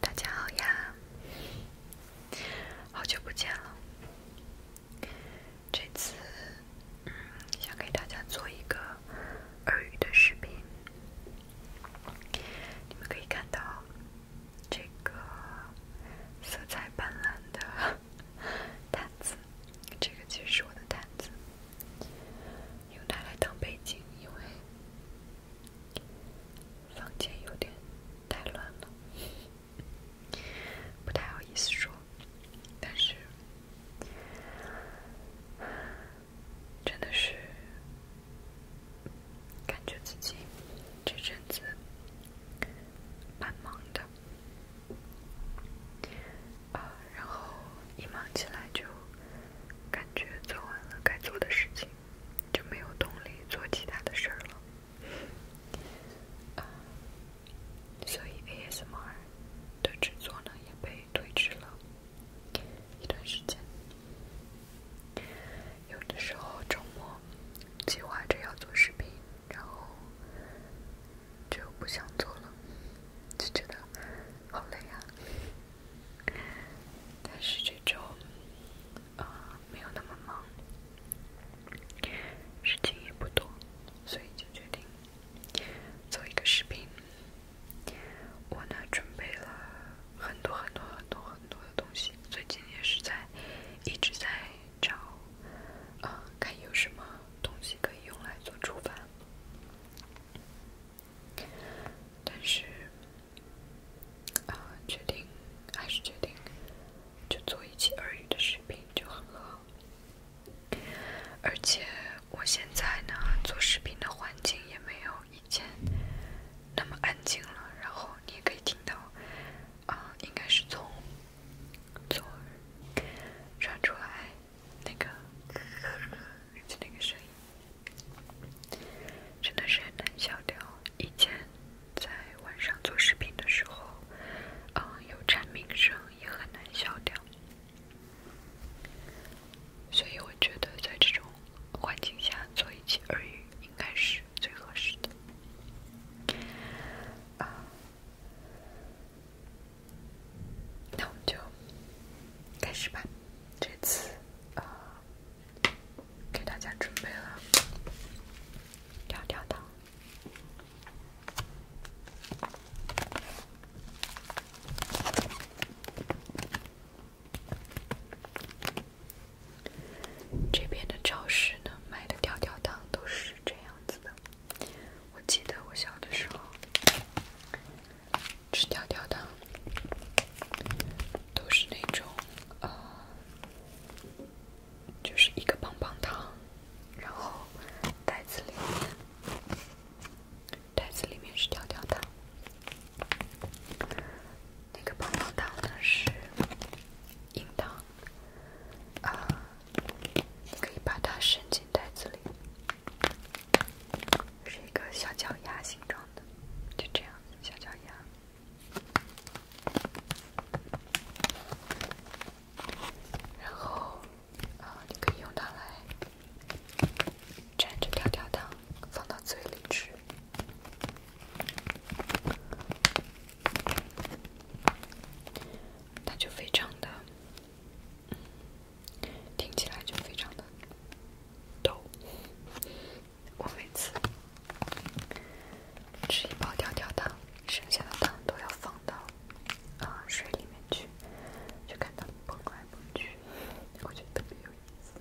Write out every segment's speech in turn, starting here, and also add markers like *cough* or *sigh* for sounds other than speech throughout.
大家好呀，好久不见了。这次想给大家做一个耳语的视频，你们可以看到这个色彩斑斓的 *laughs* 毯子，这个其实是我的毯子，用它来当背景，因为。房间有点太乱了，不太好意思说，但是真的是感觉自己这阵子蛮忙的啊，然后一忙起来就。感觉做完了该做的事情，就没有动力做其他的事儿了。所以 ASMR 的制作呢也被推迟了一段时间。有的时候周末计划着要做视频，然后就不想做了，就觉得好累呀。但是这周啊没有那么忙，事情也不多，所以就决定做一个视频。我呢准备了很多很多很多很多的东西，最近也是在一直在找啊看有什么东西可以用来做厨房。但是，啊，决定还是决定，就做一期耳语的视频就很好。而且我现在呢，做视频的环境也没有以前那么安静了。然后你也可以听到，啊，应该是从从传出来那个，就那个声音。真的是很难消掉。以前在晚上做视频的时候，嗯，有蝉鸣声也很难消掉。所以我觉得在这种环境下做一期耳语应该是最合适的。啊，那我们就开始吧。这次啊，给大家准备了跳跳糖。这边的超市呢，卖的跳跳糖都是这样子的。我记得我小的时候。吃跳跳糖，都是那种呃，就是一个棒棒糖，然后袋子里面，袋子里面是跳跳糖，那个棒棒糖呢是硬糖，啊，可以把它伸进袋子里，是一个小脚丫形状的。就这样，小脚丫。然后，啊，你可以用它来蘸着跳跳糖，放到嘴里吃，它就非常的。听起来就非常的逗。我每次吃一包跳跳糖，剩下的糖都要放到啊水里面去，就看到你蹦来蹦去，我觉得特别有意思。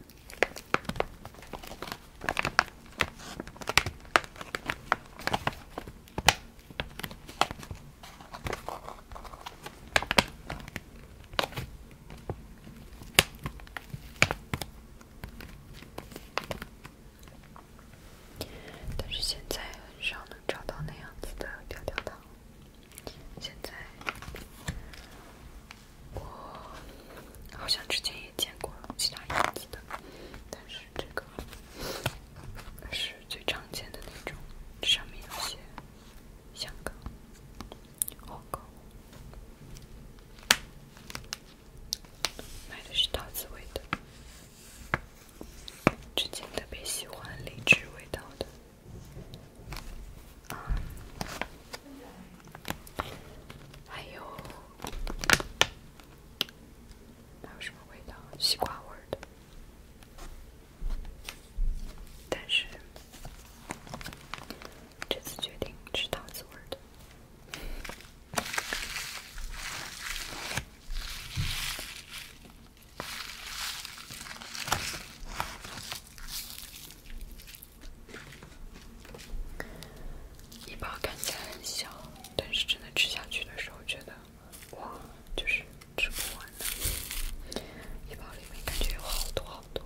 但是现在很少能找到那样子的调调糖。现在我好像之前也见过其他样子的，但是这个是最常见的那种，这上面有些香港。好喝，买的是桃子味的。之前特别喜欢荔枝味道的，啊，还有还有什么味道？西瓜味儿的。但是这次决定吃桃子味的，一包看起来很小，但是真的吃下去的时候，觉得哇，就是吃不完的，一包里面感觉有好多好多。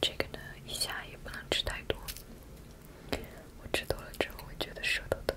这个呢，一下也不能吃太多，我吃多了之后会觉得舌头疼。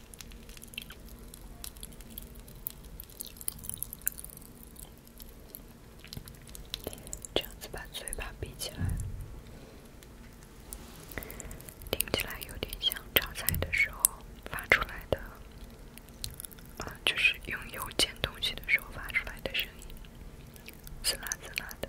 这样子把嘴巴闭起来，听起来有点像炒菜的时候发出来的，啊，就是用油煎东西的时候发出来的声音，滋啦滋啦的。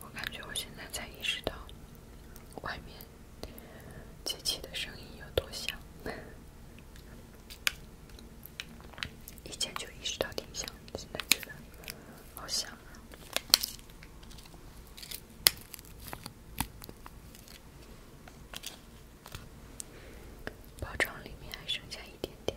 我感觉我现在才意识到，外面机器的声音有多响。*laughs* 以前就意识到挺响，现在觉得好响。包装里面还剩下一点点。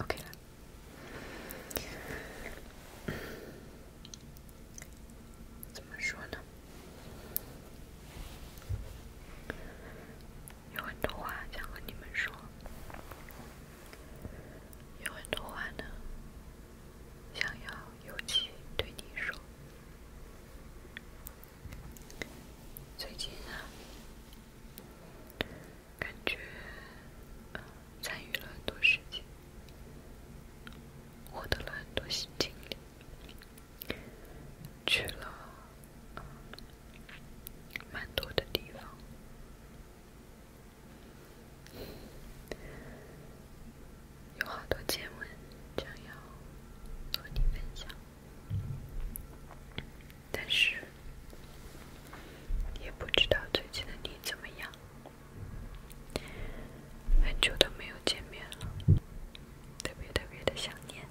OK，了。怎么说呢？有很多话想和你们说，有很多话呢，想要尤其对你说。最近啊。感觉参与了很多事情，获得了很多新经历，去了蛮多的地方，有好多见闻，想要和你分享。但是也不知道最近的你怎么样，很久都没有见面了，特别特别的想念。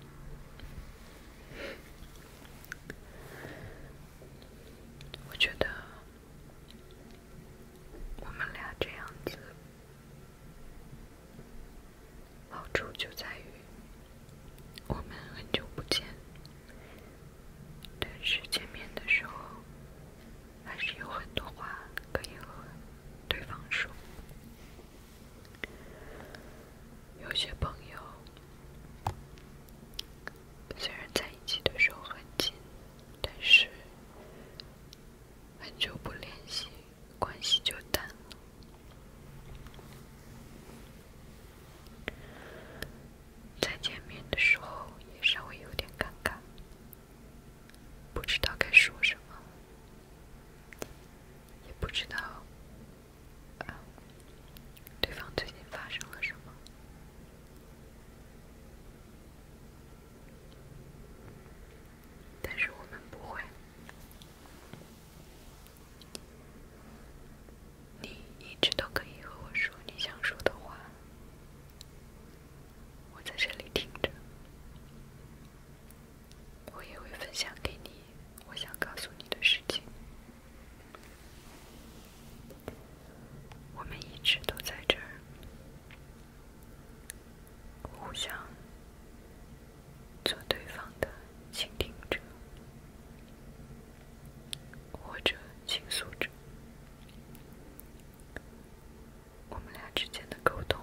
我觉得我们俩这样子好处就在于我们很久不见。但是见面的时候，还是有很多话可以和对方说。有些朋友虽然在一起的时候很近，但是很久不联系，关系就淡了。再见面的时候也稍微有点尴尬，不知道该说什么，也不知道对方最近发生了什么，但是我们不会。你一直都可以和我说你想说的话，我在这里听着，我也会分享给你我想告诉你的事情。我们一直都在这儿，互相做对方的倾听者。或者倾诉着，我们俩之间的沟通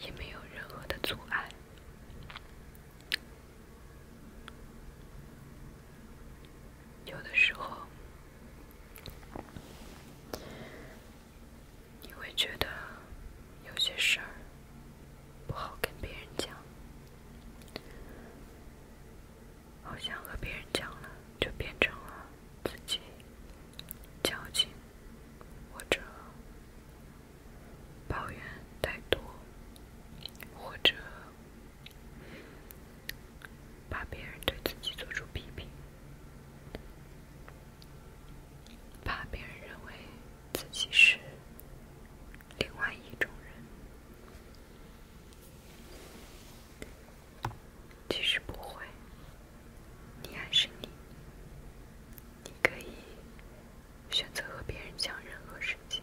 也没有任何的阻碍。有的时候，你会觉得有些事儿不好跟别人讲。好像和别人讲了，就变成了自己矫情，或者抱怨太多，或者怕别人对自己做出批评，怕别人认为自己是。另外一种人，其实不会。你还是你，你可以选择和别人讲任何事情，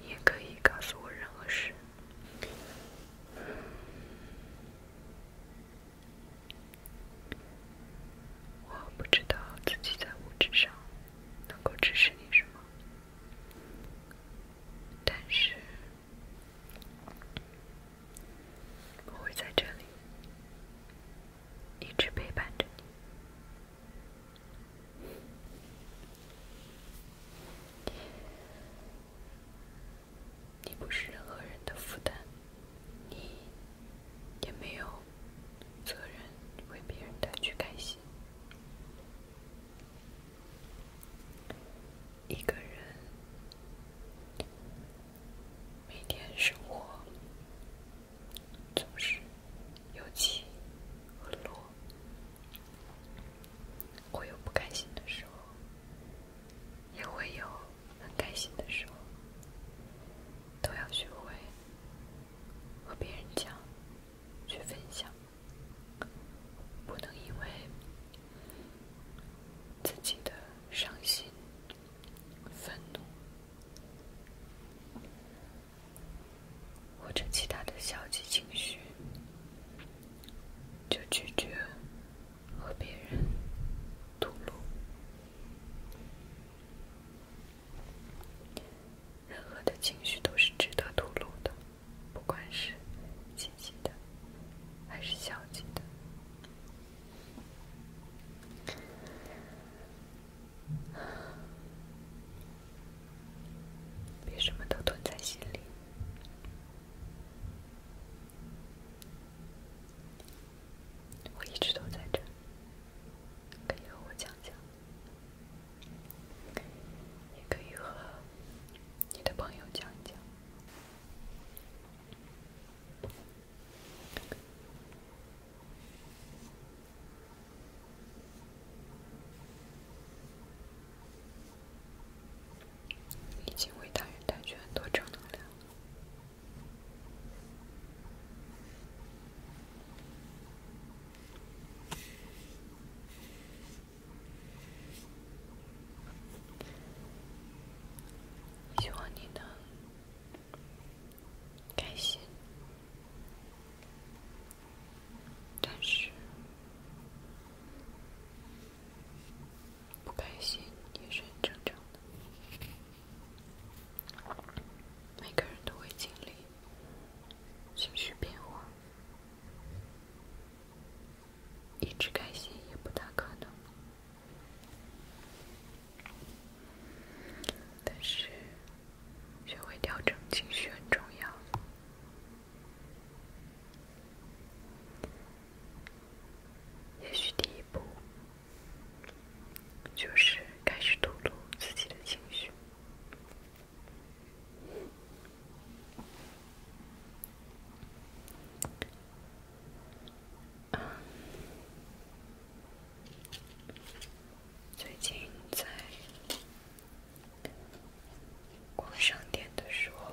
你也可以告诉我任何事。我不知道自己在物质上能够支持你什么，但是我会在这里一直陪伴着你。你不是任何人的负担。你也没有责任为别人带去开心。一个人每天生活总是有起和落，会有不甘心的时候，也会有。很开心的时候，都要学会和别人讲、去分享，不能因为自己的伤心、愤怒或者其他的消极情绪，就拒绝和别人吐露。任何的情绪都是值得吐露的，不管是积极的还是消极的，别什么都吞在心里。我一直都在这，可以和我讲讲，也可以和你的朋友讲讲，已经为他人带去很多正能量了。希望你能开心，但是。不开心也是很正常的，每个人都会经历情绪变化，一直开心也不大可能。但是，学会调整情绪很重要。也许第一步。就是开始吐露自己的情绪。最近在逛商店的时候。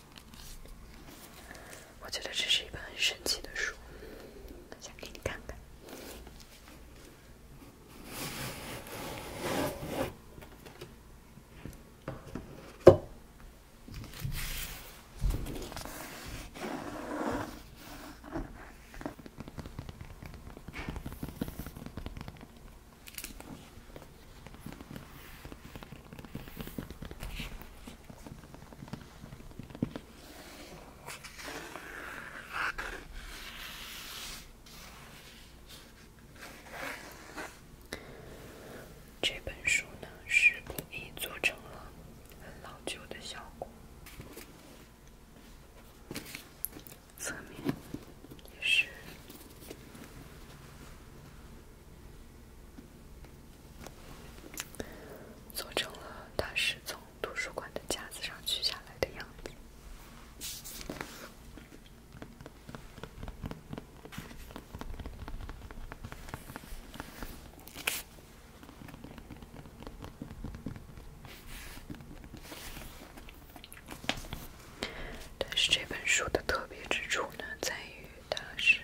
我觉得这是一本很神奇的书，想给你看看。这本书呢，是故意做成了很老旧的效果，侧面也是。做成了，它是从图书馆的架子上取下来的样子。但是这本书的特别之处呢，在于它是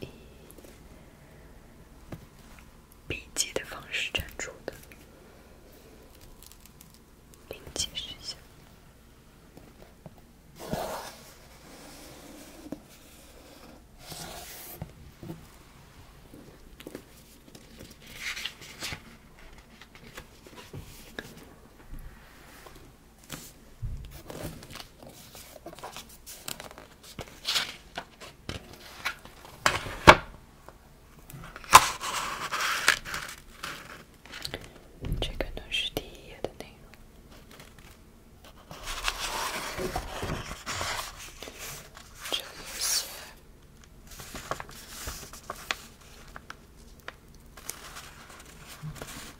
以笔记的方式展出的，了解一下。这肯定是第一页的内容，这有些。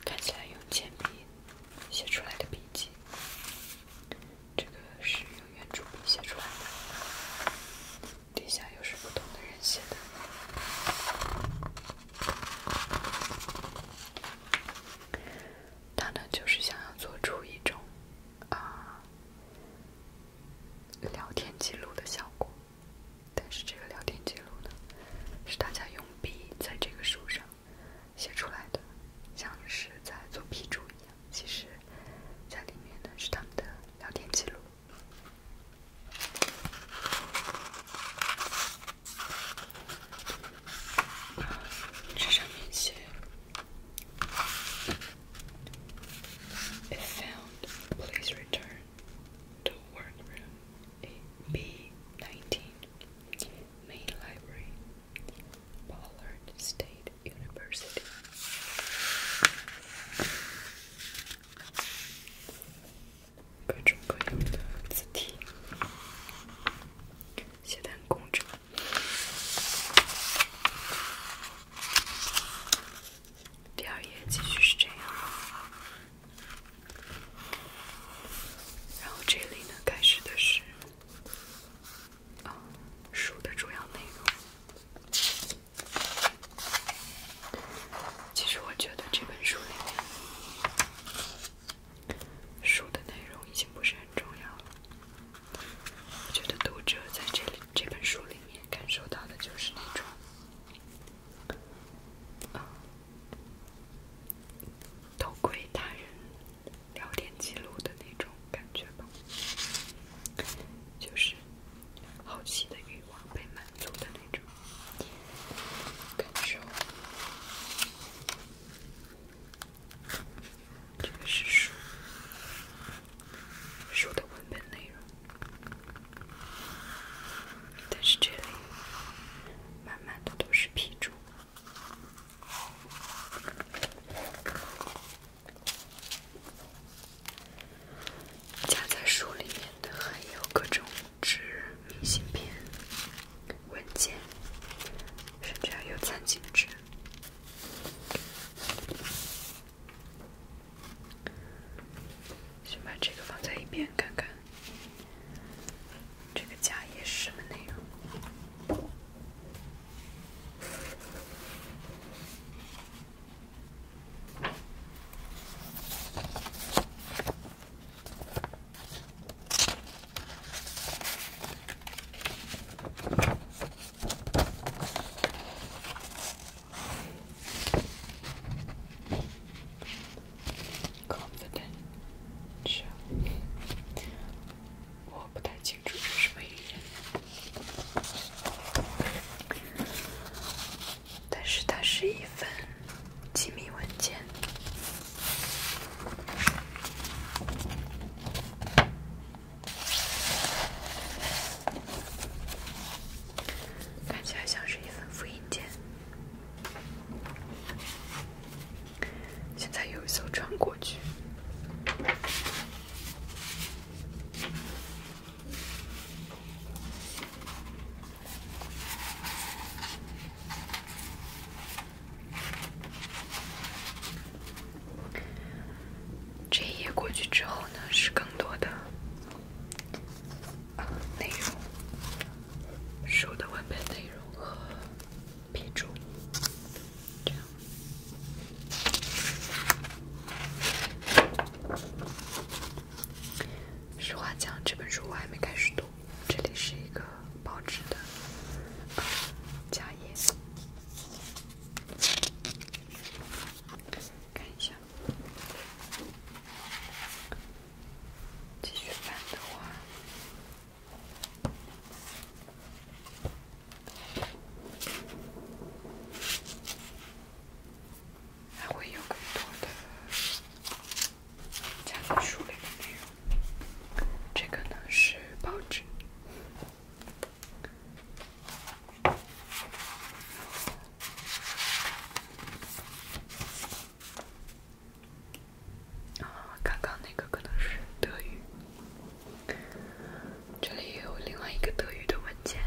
看起来用铅笔写出来的笔记，这个是用圆珠笔写出来的。底下又是不同的人写的，他呢就是想要做出一种啊聊天记录的效果。但是这个聊天记录呢，是大家用笔在这个书上写出来的，像是在做批注一样。其实，在里面呢是他们的聊天记录。这上面写：“If found, please return.” to workroom B19, main library, Pollard State University. 第二页继续是这样，然后这里呢开始的是啊书的主要内容。其实我觉得这本书里面书的内容已经不是很重要了。我觉得读者在这里这本书里面感受到的就是那种。偷窥他人聊天记录的那种感觉吧，就是好奇的欲望被满足的那种感受。这个是书书的文本内容。但是这里满满的都是批注，夹在书里面的还有各种纸、明信片、文件，甚至还有餐巾纸。先把这个放在一边，看看这个甲乙史的内容。Confidential，show。我不太清楚是什么语言，但是它是一份机密文件。看起来像是一份复印件。现在有一艘船过去。这一页过去之后呢，是更多的。内容，书的文本内容和批注，实话讲，这本书我还没开始读。这里是一个报纸的，啊，夹看一下。继续翻的话，还会有更多的教科书里的内容。这个呢是报纸。啊，刚刚那个可能是德语，这里有另外一个德语的文件。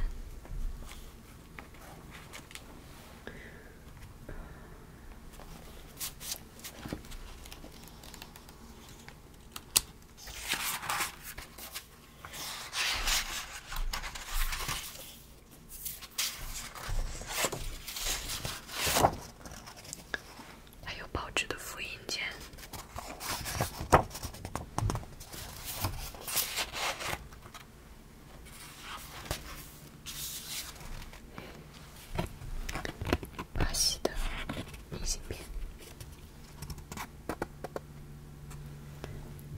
还有报纸的复印件，明信片。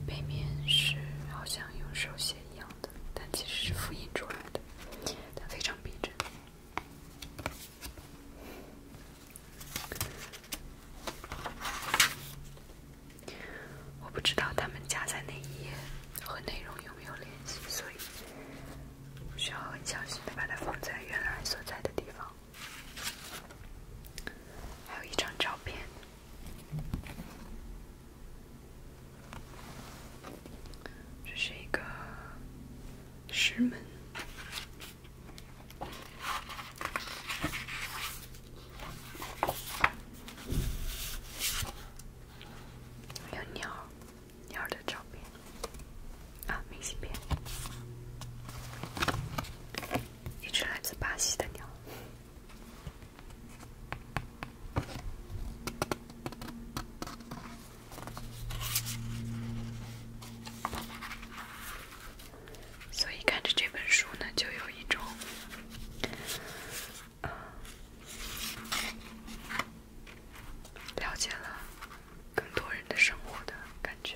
背面是好像用手写一样的，但其实是复印出来的，它非常逼真。我不知道它们夹在那一页和内容有没有联系，所以需要很小心的把它放在原来所在的地方。还有一张照片。这是一个石门，有鸟，鸟的照片啊，明信片，一只来自巴西的鸟。所以看着这本书呢，就有一种了解了更多人的生活的感觉。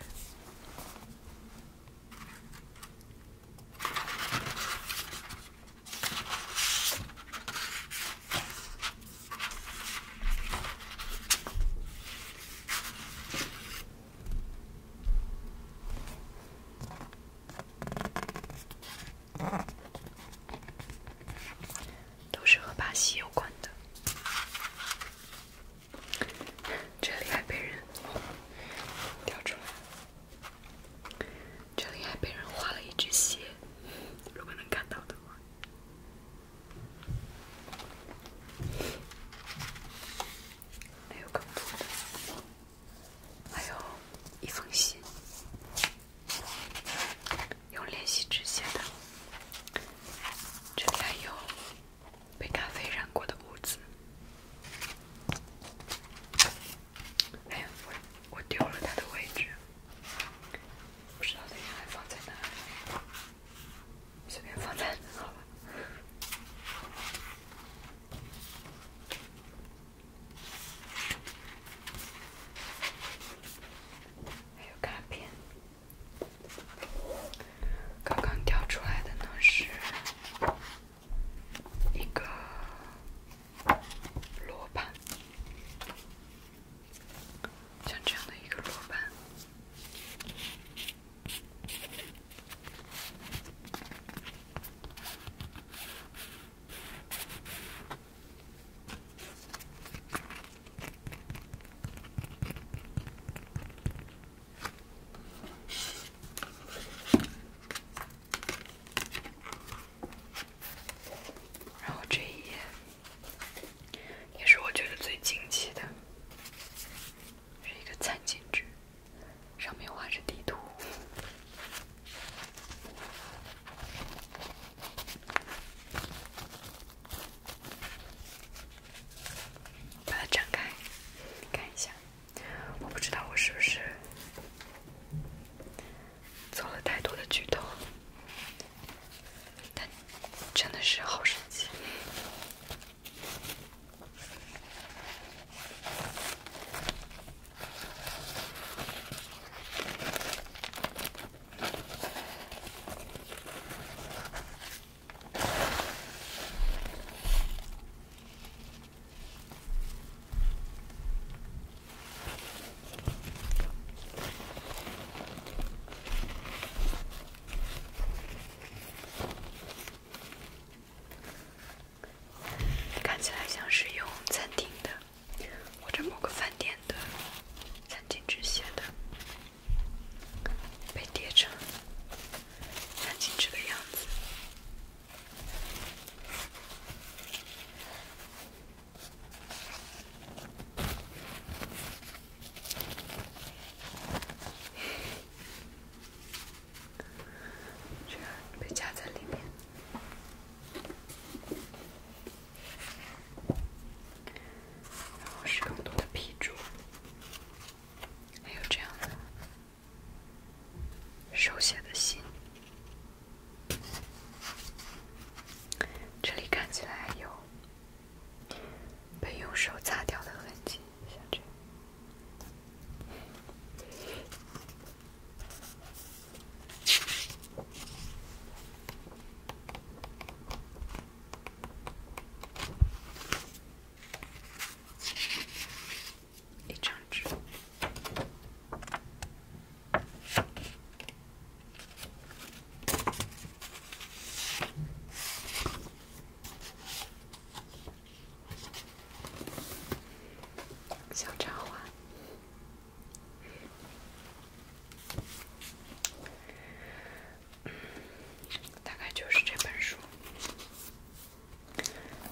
都是和巴西有关的。这里还被人掉出来，这里还被人画了一只鞋，如果能看到的话。还有更多的，还有一封信，用练习纸写的。这里还有。被咖啡染过的屋子。哎，呀，我我丢了他的位置，不知道他原来放在哪，里。随便放在那好了。还有卡片，刚刚掉出来的呢，是。一个罗盘，像这样的一个罗盘。然后这一页也是我觉得最惊奇的，是一个餐巾纸，上面画着地图，把它展开看一下。我不知道我是不是做了太多的举动，但真的是好神奇。看起来像是用餐厅的或者某个饭店的餐巾纸写的，被叠成。很精致的样子，被夹在里面，然后是更多的皮质，还有这样的。手写的信，这里看起来有被用手擦掉的痕迹，像这样。一张纸，小插画，大概就是这本书。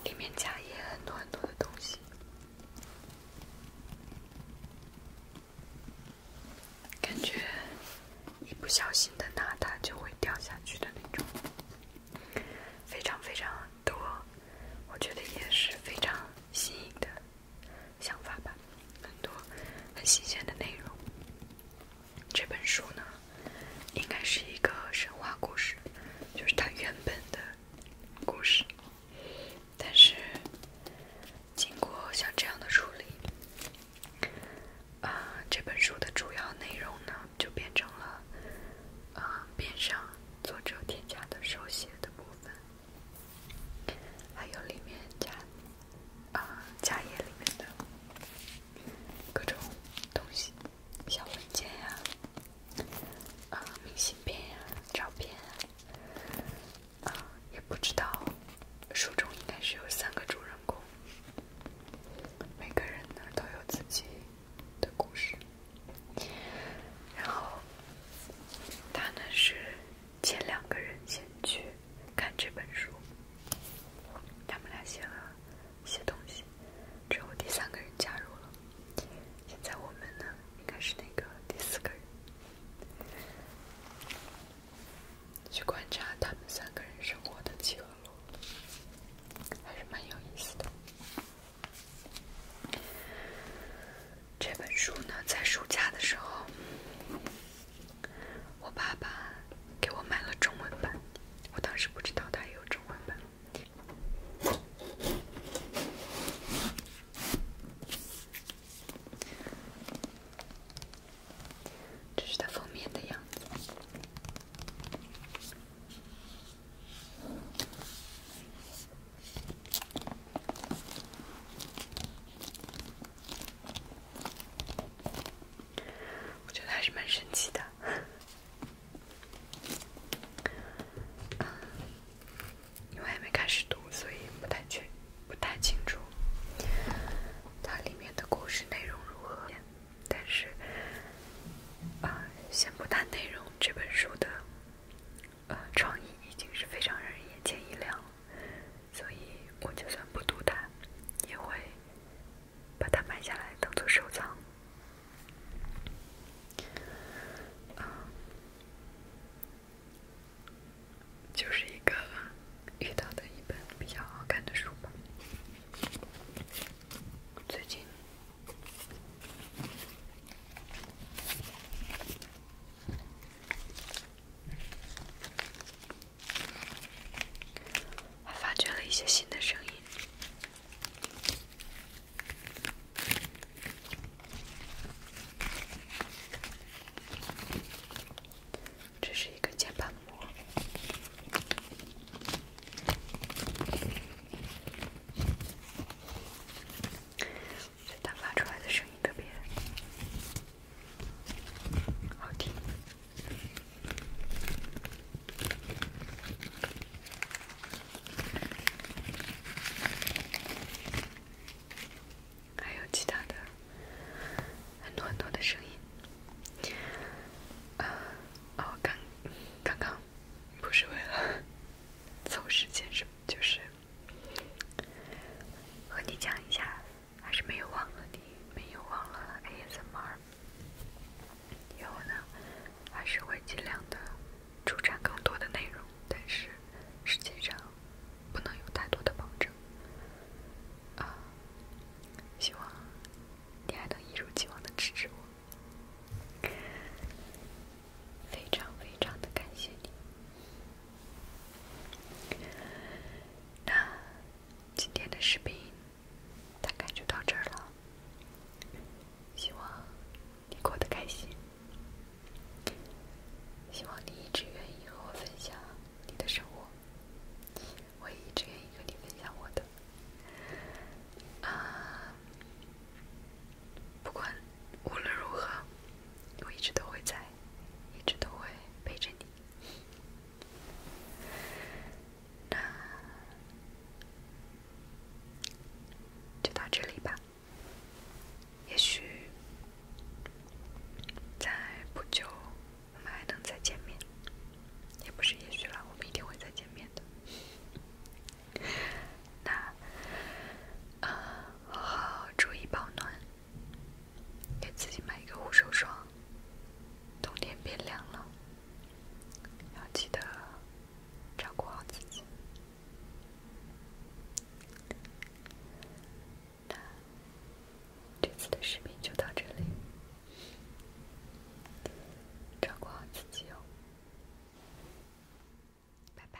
里面夹也很多很多的东西，感觉一不小心的拿它就会掉下去的那种，非常非常多，我觉得也是非常新颖的想法吧，很多很新鲜的内容。这本书呢，应该是一个神话故事，就是它原本的故事。但是经过像这样的处理，啊，这本书的主要内容呢，就变成了，啊，边上作者添加的手写的部分，还有里面加，啊，加页里面的各种东西。小文件呀，啊，明信片呀，照片啊，啊，也不知道。书中应该是有三个主人公，每个人呢都有自己的故事。然后，他呢是前两个人先去看这本书，他们俩写了。一些东西，之我第三个人加入了，现在我们呢，应该是那个第四个人，去观察他们三个人生活的几何楼，还是蛮有意思的。这本书呢，在暑假的时候，我爸爸。给我买了中文版，我当时不知道它有中文版。这是它封面的样子，我觉得还是蛮神奇的。因为还没开始读，所以不太确、不太清楚它里面的故事内容如何。但是，啊，先不谈内容，这本书的呃创意已经是非常让人眼前一亮了，所以我就算不读它，也会。把它买下来当做收藏，啊，就是一个遇到的一本比较好看的书吧。最近发掘了一些新的声音。这是一个键盘膜，它发出来的声音特别好听。还有其他的很多很多的声音啊！哦，刚刚刚不是为了凑时间，是就是和你讲一下，还是没有忘了你，没有忘了 ASMR。以后呢，还是会尽量的出产更多的内容，但是实际上不能有太多的保证啊！希望你还能一如既往的支持我，非常非常的感谢你。那今天的视频。大概就到这儿了。希望你过得开心。希望你一直愿意和我分享你的生活，我也一直愿意和你分享我的。啊，不管无论如何，我一直都会在，一直都会陪着你。那就到这里吧。也许在不久，我们还能再见面。也不是也许了，我们一定会再见面的。那好好注意保暖，给自己买一个护手霜。冬天变凉了。要记得照顾好自己。那这次的视频就到这里，照顾好自己哦，拜拜。